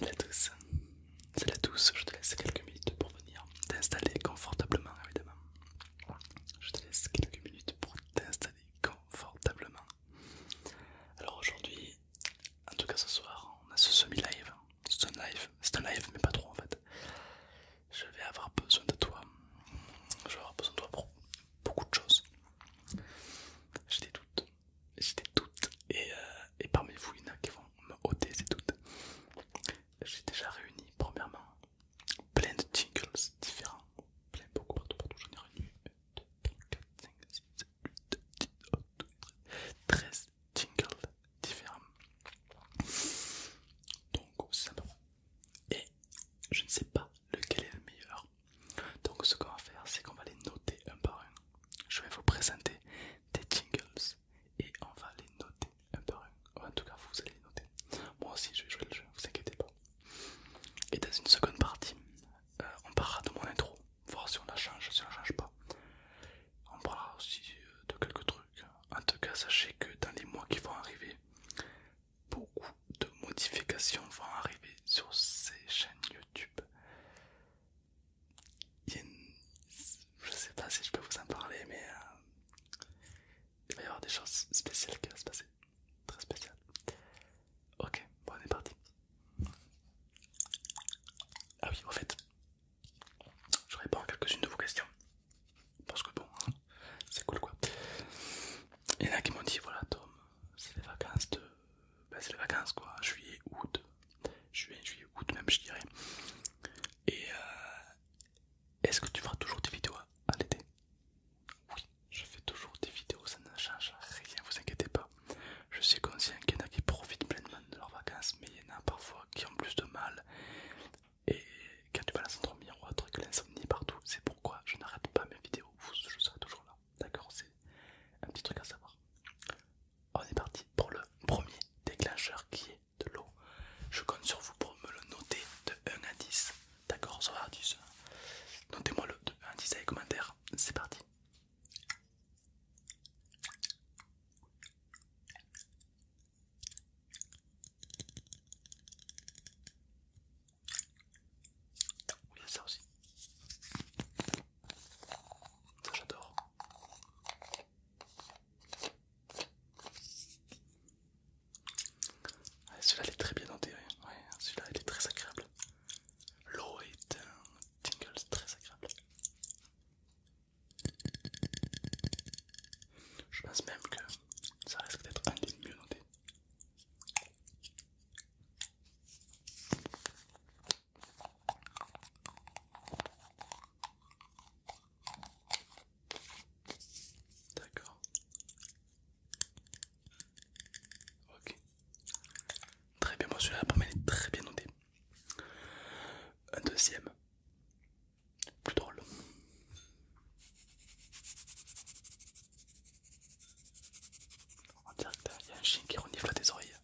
Salut à tous, salut à tous, je te laisse quelques minutes pour venir t'installer confortablement évidemment. Je te laisse quelques minutes pour t'installer confortablement. Alors aujourd'hui, en tout cas ce soir, on a ce semi-live c'est un live, mais pas trop en fait. Je vais avoir besoin de toi. Je vais avoir besoin de toi pour beaucoup de choses. J'ai des doutes, j'ai des doutes, et, euh, et parmi vous, il y en a qui vont me ôter ces doutes. J'ai déjà réuni, premièrement, plein de jingles différents, plein beaucoup partout, partout. J'en ai réuni 1, 2, 3, 4, 5, 6, 7, 8, 10, 11, 12, 13 jingles différents. Donc simplement. Et je ne sais pas lequel est le meilleur. Donc ce qu'on va faire, c'est qu'on va les noter un par un. Je vais vous présenter des jingles et on va les noter un par un. En tout cas, vous allez les noter. Moi aussi, je vais jouer le jeu, vous inquiétez pas. Et dans une seconde partie, euh, on parlera de mon intro voir si on la change, si on la change pas. On parlera aussi euh, de quelques trucs. En tout cas, sachez que dans les mois qui vont arriver, beaucoup de modifications vont arriver sur ces chaînes YouTube. Je sais pas si je peux vous en parler, mais euh, il va y avoir des choses spéciales qui vont se passer. Très spéciales. Ok, bon, on est parti. Ah oui, au fait, je réponds à quelques-unes de vos questions. Parce que bon, hein, c'est cool quoi. Il y en a qui m'ont dit voilà Tom, c'est les vacances de. Ben, c'est les vacances quoi, juillet, août. Juillet, juillet, août même je dirais. Et euh, est-ce que tu feras toujours des vidéos en à l'été Oui, je fais toujours des vidéos, ça ne change rien, vous inquiétez pas. Je suis conscient qu'il y en a qui profitent pleinement de leurs vacances, mais il y en a parfois qui ont plus de mal et quand tu vas la à dormir ou à truc l'insomnie partout. C'est pourquoi je n'arrête pas mes vidéos, je serai toujours là. D'accord C'est un petit truc à savoir. On est parti pour le premier déclencheur qui est de l'eau. Je compte sur vous pour me le noter de 1 à 10. D'accord Ça à 10. Euh, notez-moi le 1 à 10 dans les commentaires. C'est parti. Il y a ça aussi. Ça j'adore. Ah, celui-là est très bien enterré, celui-là est très agréable. L'eau est un tingle très agréable. Je pense même que ça risque d'être un des mieux noté D'accord. Ok. Très bien, moi celui-là, est très bien notée. Un deuxième, plus drôle. On dirait il y a un chien qui renifle à tes oreilles.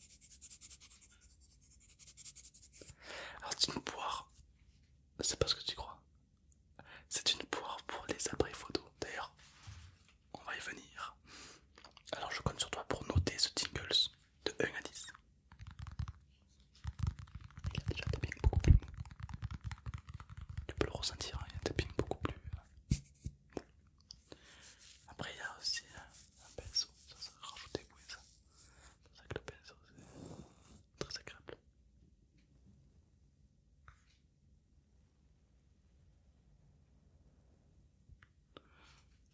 Alors c'est une poire, c'est pas ce que tu crois. C'est une poire pour les abris photo. D'ailleurs, on va y venir. Alors je compte sur toi pour noter ce tingles de 1 à 10. Il y a déjà des tapping beaucoup plus Tu peux le ressentir, hein, il y a des tapping beaucoup plus euh, Après, il y a aussi euh, un, pinceau, ça ça rajoute des bruits, ça. C'est pour ça que le pinceau c'est très agréable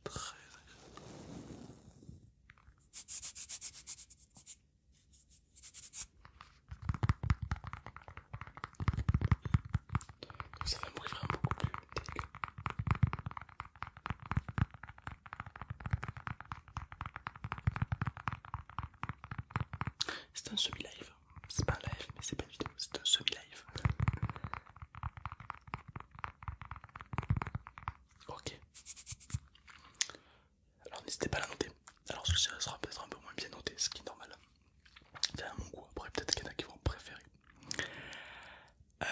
ça fait un vraiment beaucoup plus C'est un semi-live, c'est pas un live mais c'est pas une vidéo, c'est un semi-live. Ok. Alors n'hésitez pas à la noter. Alors celui sera peut-être un peu moins bien noté, ce qui est normal. C'est à mon goût. Après peut-être qu'il y en a qui vont préférer. Euh,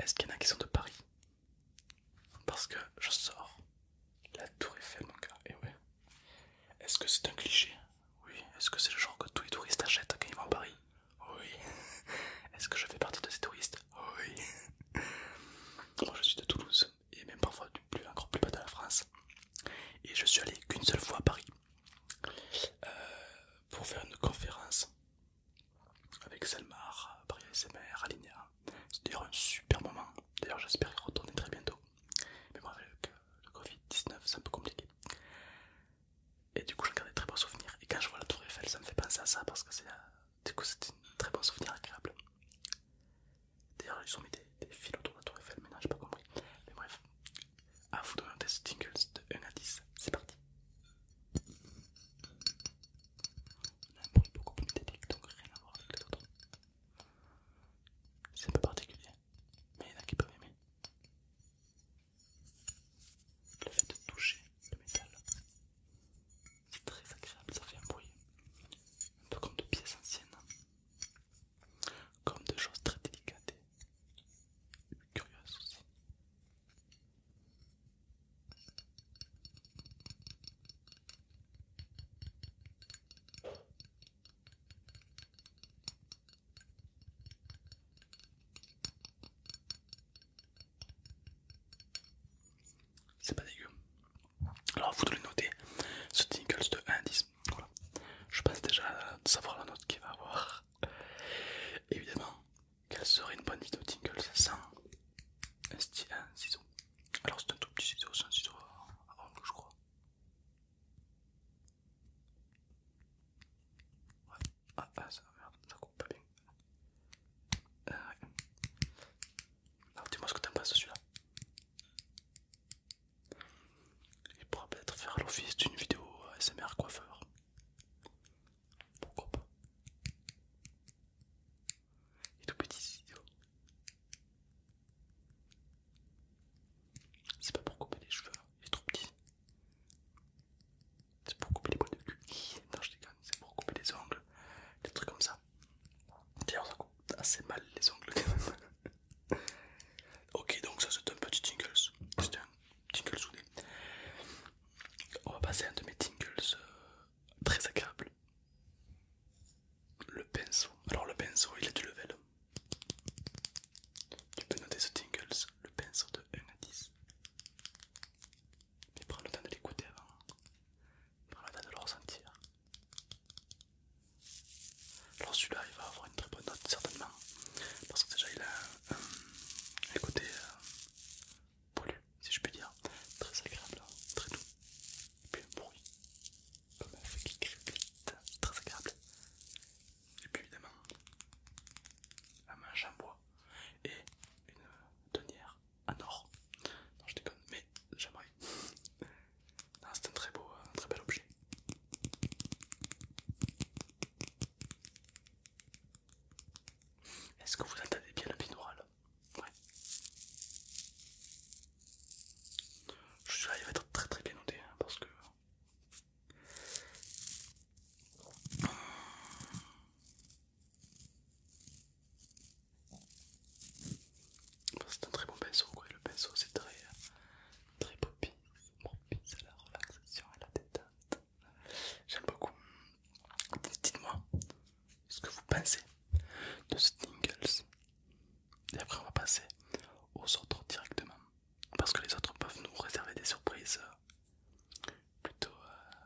est-ce qu'il y en a qui sont de Paris Parce que je sors la Tour Eiffel, mon gars. Et ouais. Est-ce que c'est un cliché Oui. Est-ce que c'est le genre que tous les touristes achètent quand ils vont à Paris oui. Est-ce que je fais partie de ces touristes Oui. Moi oh, je suis de Toulouse et même parfois du plus, encore plus bas de la France. Et je suis allé qu'une seule fois à Paris euh, pour faire une conférence avec Selmar, Paris SMR, Alinea. C'est d'ailleurs un super moment. D'ailleurs j'espère y retourner très bientôt. Mais moi le Covid-19 c'est un peu compliqué. Et du coup, j'en garde des très bons souvenirs. Et quand je vois la Tour Eiffel, ça me fait penser à ça parce que c'est du coup, c'est un très bon souvenir agréable. D'ailleurs, ils ont mis des, fils autour de la Tour Eiffel, mais non, j'ai pas compris. Mais bref, à vous donner un test de 1 à 10. C'est parti. On a un bruit beaucoup plus donc rien à voir avec les autres. C'est un peu particulier, mais il y en a qui peuvent aimer. Le fait de toucher le métal, c'est très agréable, ça fait un bruit, un peu comme de pièces anciennes, comme de choses très délicates et curieuses aussi. C'est pas dégueu. Alors, vous devez noter. Ce Tinkles de 1 à 10. Je pense déjà à savoir la note qu'il va avoir. Évidemment, quelle serait une bonne vidéo Tinkles sans un, ciseau Alors, c'est un tout petit ciseau, c'est un ciseau à je crois. Ah, bah, ça, ça coupe pas bien. Euh, Alors, dis-moi ce que t'en penses celui-là. Il pourra peut-être faire l'office d'une vidéo SMR coiffeur. Pourquoi pas Il est tout petit cette vidéo. C'est pas pour couper les cheveux, hein. il est trop petit c'est pour couper les boîtes de cul. Non, je déconne, c'est pour couper les ongles, des trucs comme ça. D'ailleurs, ça coupe assez mal les ongles ok, donc ça c'est un petit tingles. C'est un tingles soudé. On va passer à un de mes tingles euh, très agréable. Le pinceau. Alors, le pinceau, il a du level. Tu peux noter ce tingles, le pinceau de 1 à 10. Mais prends le temps de l'écouter avant. Prends le temps de le ressentir. Alors celui-là il va avoir une très bonne note certainement. Parce que déjà il a un, côté euh, pollu, si je puis dire. Très agréable, hein. très doux. Et puis un bruit. Comme un feu qui crépite. Très agréable. Et puis évidemment, un manche en bois et une tonnière euh, un or. Non, je déconne, mais j'aimerais. Ah, c'est un très beau, euh, très bel objet. Est-ce que vous entendez bien le là Ouais. Je suis sûr il va être très très bien noté hein, parce que c'est un très bon pinceau, quoi. Le pinceau, c'est très, euh, très propice, à la relaxation, à la détente. J'aime beaucoup. Dites-moi ce que vous pensez de ce Tingles. Et après, on va passer aux autres directement. Parce que les autres peuvent nous réserver des surprises euh, plutôt, euh,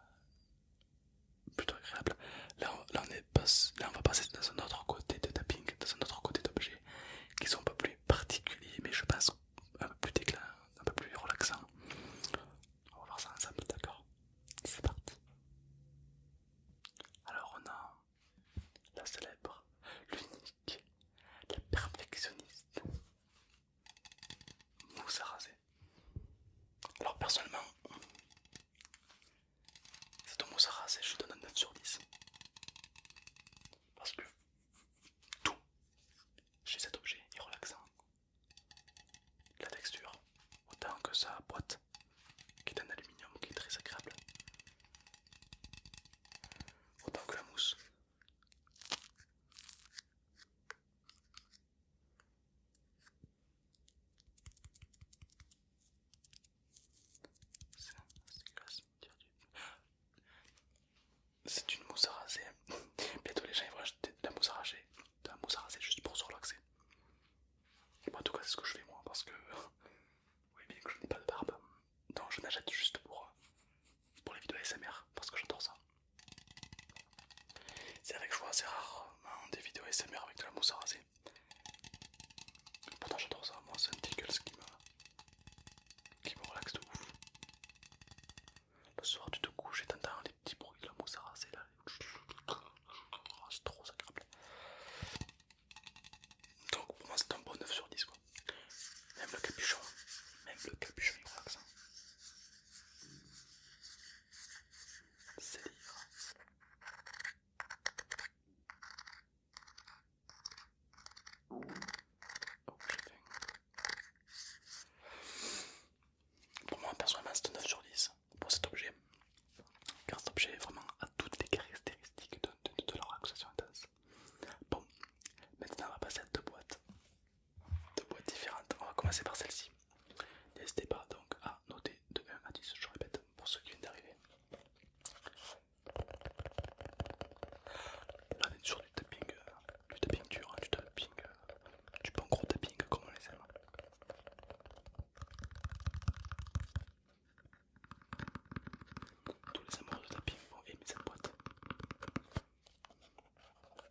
plutôt agréable. Là, on, est pas, là on va passer dans un autre côté de tapping, dans un autre côté d'objets qui sont un peu plus particuliers, mais je pense un peu plus déclin, un peu plus relaxant. On va voir ça ensemble, d'accord C'est parti. Alors on a la célèbre, l'unique, la perfectionniste, mousse à raser. Alors personnellement, cette mousse à raser, je donne un 9 sur 10. Parce que tout chez cet objet est relaxant. La texture, autant que sa boîte, qui est en aluminium, qui est très agréable. Autant que la mousse. C'est une mousse à raser. Bientôt les gens ils vont acheter de la mousse à de la mousse à juste pour se relaxer. en tout cas c'est ce que je fais moi parce que oui bien que je n'ai pas de barbe, non je n'achète juste pour euh, pour les vidéos ASMR parce que j'adore ça. C'est vrai que je vois assez rarement des vidéos SMR avec de la mousse à Pourtant j'adore ça, moi c'est un tickle qui me, qui me relaxe de ouf. Le soir tu te couches et t'entends les petits bruits de la mousse à raser là. C'est trop agréable. Donc pour moi c'est un bon 9 sur 10 quoi. Même le capuchon, même le capuchon il hein. C'est Pour moi, personnellement, c'est 9 sur 10 pour cet objet, car cet objet vraiment a toutes les caractéristiques de, de, de la Bon, maintenant on va passer à deux boîtes de boîtes différentes. On va commencer par celle-ci. N'hésitez pas donc à noter de 1 à 10, je répète, pour ceux qui viennent d'arriver. Là on est sur du tapping, euh, du tapping dur, hein, du tapping, euh, du bon gros tapping comme on les aime. Tous les amoureux de tapping vont aimer cette boîte.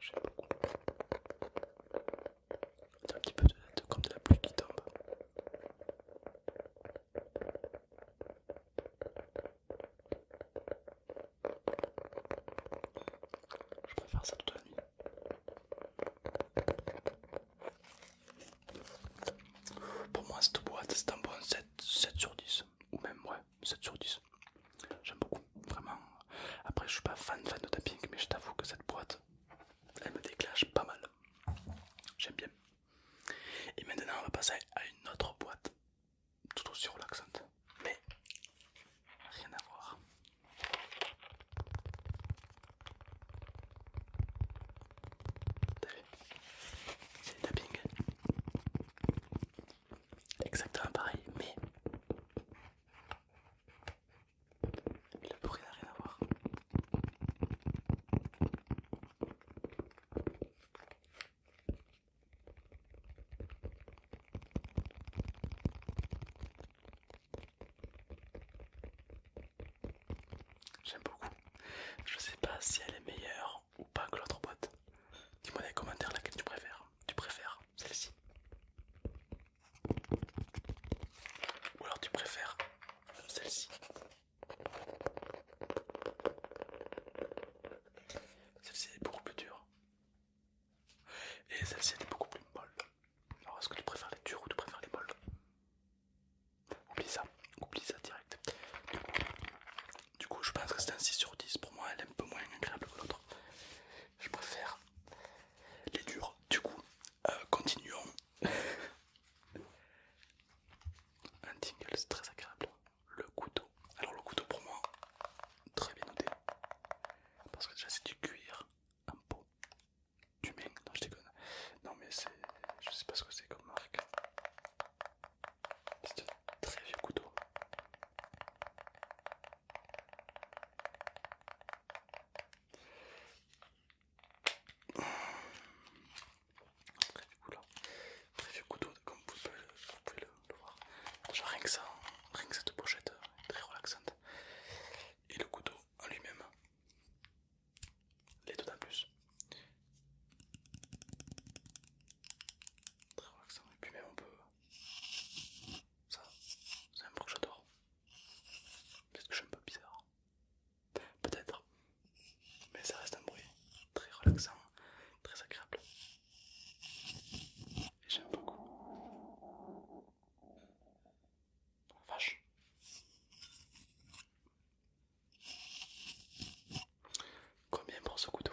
J'aime beaucoup. C'est un petit peu comme de la pluie qui tombe. Je préfère ça toute la nuit. Pour moi, cette boîte c'est un bon 7, sur 10, ou même moins. 7 sur 10. J'aime beaucoup, vraiment. Après, je suis pas fan fan de tapping, mais je t'avoue que cette boîte, elle me déclenche pas mal. J'aime bien. Et maintenant, on va passer à une autre boîte, tout aussi relaxante, mais rien à voir. C'est tapping exactement pareil, mais le bruit n'a rien à voir. J'aime beaucoup. Je sais pas si elle est meilleure ou pas que l'autre boîte. Dis-moi dans les commentaires laquelle tu préfères. Tu préfères celle-ci Ou alors tu préfères celle-ci Celle-ci est beaucoup plus dure. Et celle-ci est beaucoup plus molle. Alors est-ce que tu préfères les dures ou tu préfères les molles Oublie ça, oublie ça direct. Du coup, je pense que c'est un 6 sur 10. Pour moi, elle est un peu moins agréable que l'autre. Je préfère les durs. Du coup, euh, continuons. un tingle, c'est très agréable. Le couteau. Alors, le couteau pour moi, très bien noté. Parce que déjà, c'est du cuir en peau. Du main, non, je déconne. Non, mais c'est. Je sais pas ce que c'est comme marque. C'est un très vieux couteau. Très vieux couteau, comme vous pouvez, le, voir. rien que ça, rien que cette pochette euh, très relaxante. Et le couteau en lui-même, les deux en plus. Très relaxant. Et puis même on peut ça, c'est un bruit que j'adore. peut ce que je suis un peu bizarre. Peut-être. Mais ça reste un bruit très relaxant, très agréable. Et j'aime beaucoup. Oh, vache. Combien pour ce couteau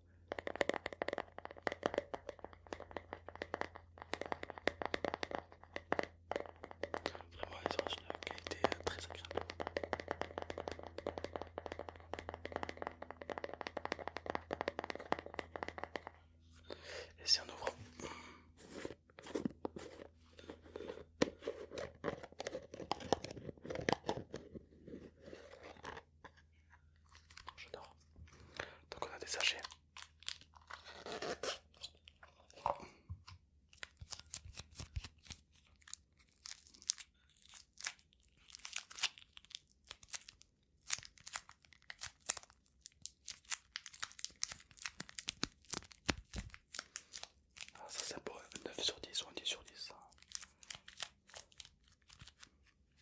Vraiment, ils ont une qualité euh, très agréable. Et si on ouvre J'adore. Donc on a des sachets. Ah, ça c'est beau, 9 sur 10 ou 10 sur 10.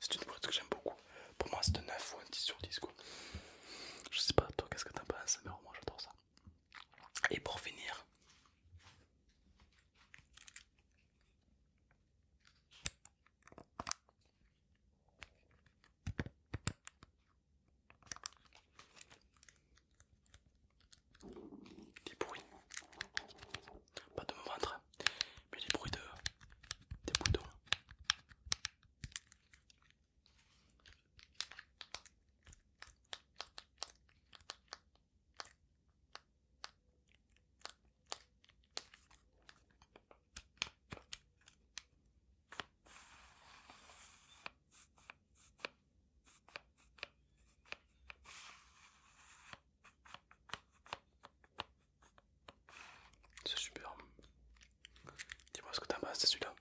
C'est une brute que j'aime beaucoup. Pour moi, c'est un 9 ou un 10 sur 10. Je sais pas, toi, qu'est-ce que t'en penses, mais moi, j'adore ça. Et pour finir, des bruits, pas de mon ventre, mais des bruits de, des boutons. C'est super. Dis-moi ce que t'as pas, c'est celui-là.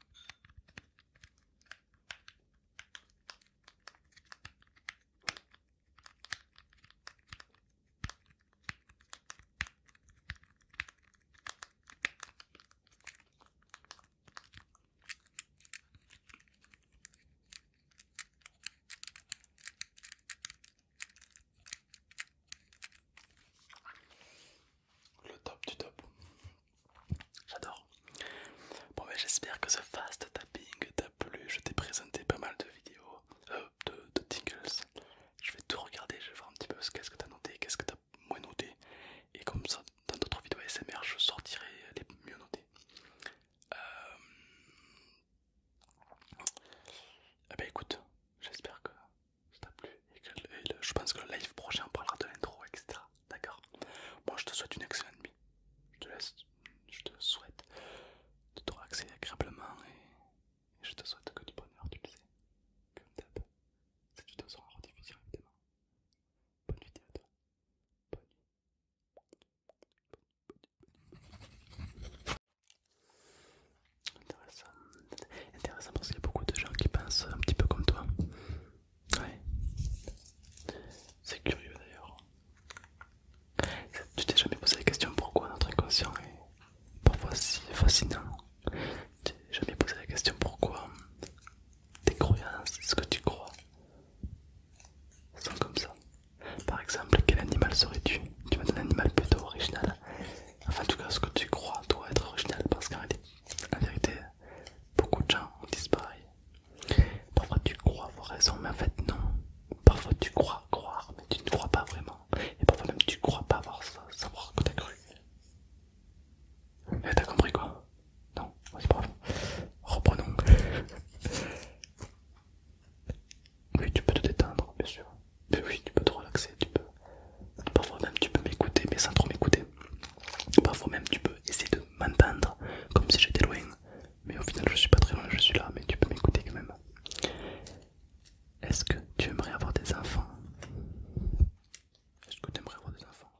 Le top du top. J'adore. Bon ben j'espère que ce fast tapping t'a plu. Je t'ai présenté pas mal de vidéos, euh, de, tingles. Je vais tout regarder, je vais voir un petit peu qu'est-ce que t'as noté, qu'est-ce que t'as moins noté. Et comme ça, dans d'autres vidéos SMR, je sortirai les mieux notés. Euh... Ah ben écoute, j'espère que ça t'a plu et je pense que le live prochain on parlera de l'intro, etc. D'accord Moi je te souhaite une excellente nuit. Je te laisse, je te souhaite de te relaxer agréablement et, je te souhaite que du bonheur, tu le sais. Comme d'hab, cette vidéo sera en rediffusion évidemment. Bonne vidéo à toi. Bonne nuit. Intéressant. parce qu'il y a beaucoup de gens qui pensent un petit peu comme toi. Ouais. C'est curieux d'ailleurs. Tu t'es jamais posé la question pourquoi notre inconscient est parfois si fascinant. Tu t'es jamais posé la question pourquoi tes croyances, hein, ce que tu crois, sont comme ça. Par exemple, quel animal serais-tu Tu m'as donné un animal plutôt original. Hein. Enfin, en tout cas, ce que tu crois doit être original parce qu'en vérité, beaucoup de gens ont disparu. Parfois, tu crois avoir raison, mais en fait, non. Parfois, tu crois croire, mais tu ne crois pas vraiment. Et parfois, même, tu crois pas avoir ça, savoir que as cru. T'as compris quoi non, c'est pas grave. Reprenons. oui, tu peux te détendre, bien sûr. oui, tu peux te relaxer, tu peux. Parfois même tu peux m'écouter, mais sans trop m'écouter. Parfois même tu peux essayer de m'entendre, comme si j'étais loin. Mais au final je suis pas très loin, je suis là, mais tu peux m'écouter quand même. Est-ce que tu aimerais avoir des enfants Est-ce que tu aimerais avoir des enfants